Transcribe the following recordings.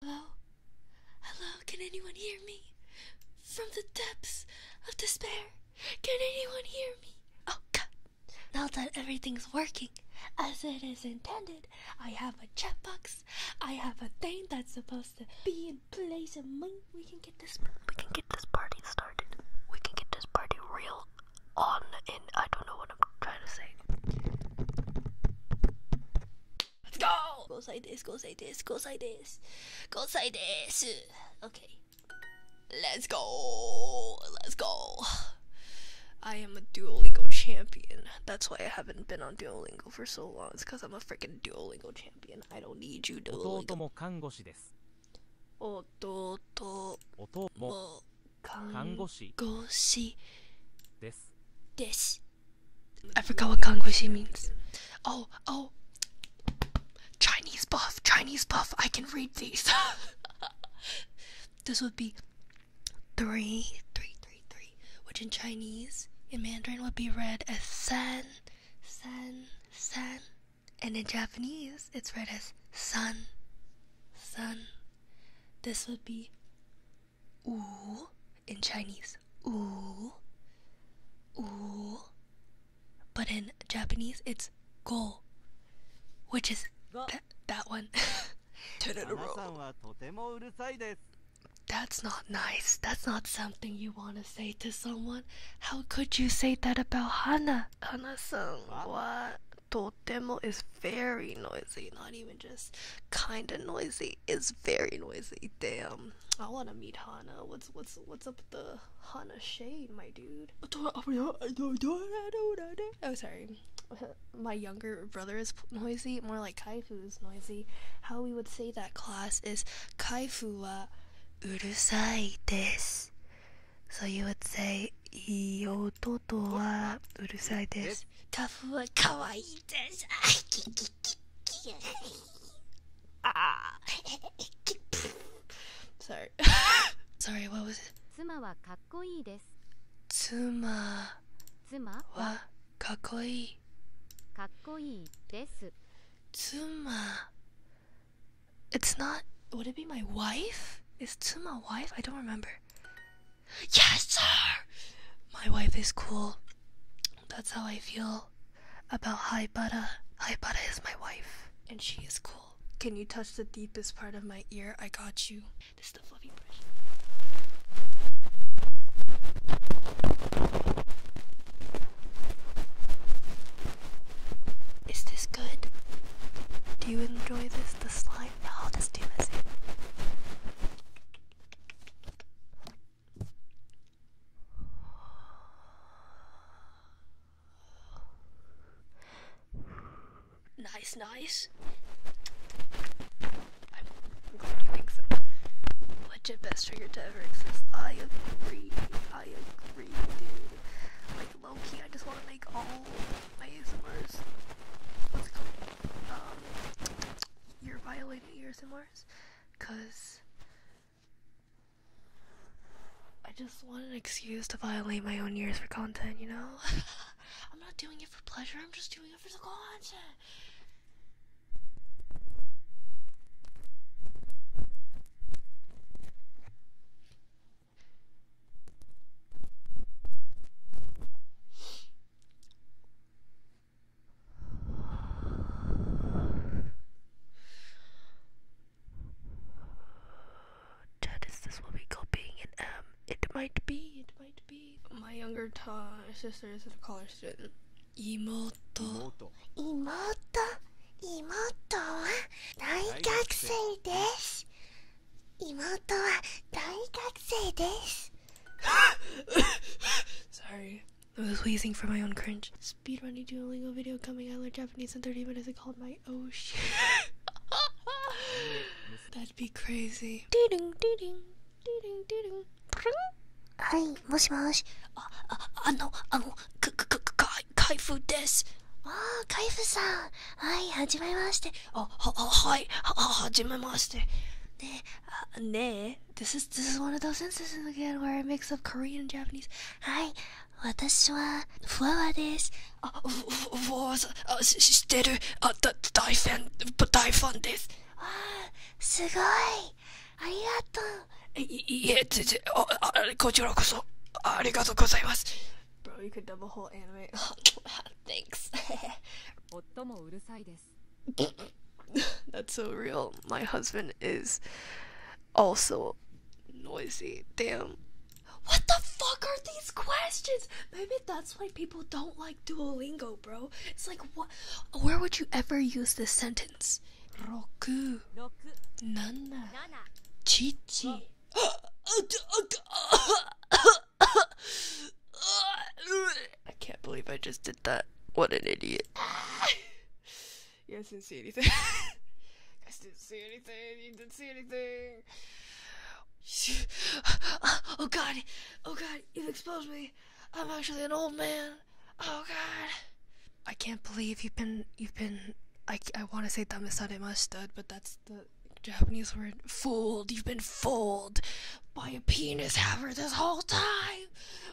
Hello? Hello? Can anyone hear me? From the depths of despair, can anyone hear me? Oh god. Now that everything's working as it is intended, I have a chat box. I have a thing that's supposed to be in place and we can get this we can get this party started. We can get this party real on and I don't know what I'm trying to say. Let's go! Goes like this, goes like this, goes like this, goes like this. Okay. Let's go! Let's go! I am a Duolingo champion. That's why I haven't been on Duolingo for so long. It's because I'm a freaking Duolingo champion. I don't need you, Duolingo. 弟も看護師です。です。I forgot what kanguishi means. Oh, oh, Chinese buff, Chinese buff. I can read these. this would be three, three, three, three, which in Chinese, in Mandarin, would be read as san, san, san, and in Japanese, it's read as sun, sun. This would be Wu in Chinese. Wu. Wu. But in Japanese, it's go, which is th that one. Ten in a That's not nice. That's not something you want to say to someone. How could you say that about Hana? Hana-san, what? Totemo is very noisy, not even just kinda noisy. It's very noisy. Damn. I wanna meet Hana. What's what's what's up with the Hana shade, my dude? Oh sorry. My younger brother is noisy, more like Kaifu is noisy. How we would say that class is Kaifu wa urusai desu. So you would say yo 弟はうるさいですタフは可愛いですあ Sorry Sorry what was it 妻はかっこいいです妻はかっこいいかっこいいです妻 It's not would it be my wife? Is Tsuma wife? I don't remember. Yes, sir! My wife is cool. That's how I feel about Hi Butter. is my wife, and she is cool. Can you touch the deepest part of my ear? I got you. This is the fluffy brush. Is this good? Do you enjoy this? The slime? Nice, nice. I'm glad you think so. Legit best trigger to ever exist. I agree. I agree, dude. Like, low I just want to make all my ASMRs. What's it called? Um, you're violating your ASMRs. Cause I just want an excuse to violate my own ears for content, you know? I'm not doing it for pleasure, I'm just doing it for the content. That is this will be copying an M. It might be, it might be. My younger sister is a college student. Imoto. Imoto. 妹は大学生です妹は大学生です Sorry, I was wheezing for my own cringe. Speedrunning Duolingo video coming out in Japanese in 30 minutes. I called my oh shit. That'd be crazy. Doo-ding, doo-ding, doo-ding, doo-ding. はい、もしもし。あ、あ、あの、あの、か、か、か、開封です。ああカイフさんはいはじめましてあははいはじめましてねえ、ねえ、This is, one of those instances where I mix up Korean and Japanese. はい、私は、ふわわです。あ、ふ、ふわわさん、あ、し、知てる、あ、だ、大ファン、大ファンです。わあ、すごい。ありがとう。いえ、全然、こちらこそ、ありがとうございます。Bro, eh, oh, oh, oh, you could dub whole anime. Thanks. 夫もうるさいです。That's so real. My husband is also noisy. Damn. What the fuck are these questions? Maybe that's why people don't like Duolingo, bro. It's like, what? Where would you ever use this sentence? happens? Nana, Chichi. I can't believe I just did that. What an idiot. you guys didn't see anything. you guys didn't see anything. You didn't see anything. Oh god. Oh god. You've exposed me. I'm actually an old man. Oh god. I can't believe you've been you've been I I want to say masud, but that's the Japanese word fooled. You've been fooled by a penis haver this whole time.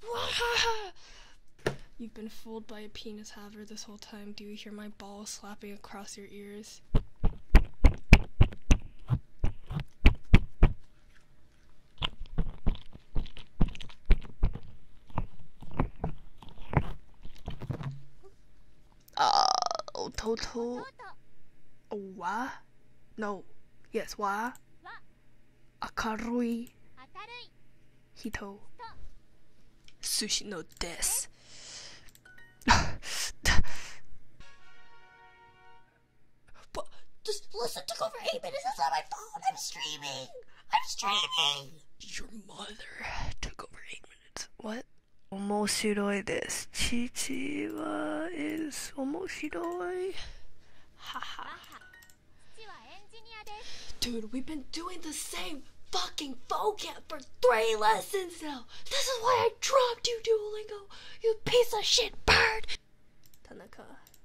You've been fooled by a penis haver this whole time. Do you hear my balls slapping across your ears? Uh, oh, total. Wa? No. Yes, wa. Akarui. Hito. Sushi no des. listen, took over eight minutes. It's not my fault. I'm streaming. I'm streaming. Your mother took over eight minutes. What? Omoshiroi desu. Chichi wa is omoshiroi. Haha. Dude, we've been doing the same fucking vocab for three lessons now. This is why I dropped you, Duolingo. You piece of shit bird. Tanaka.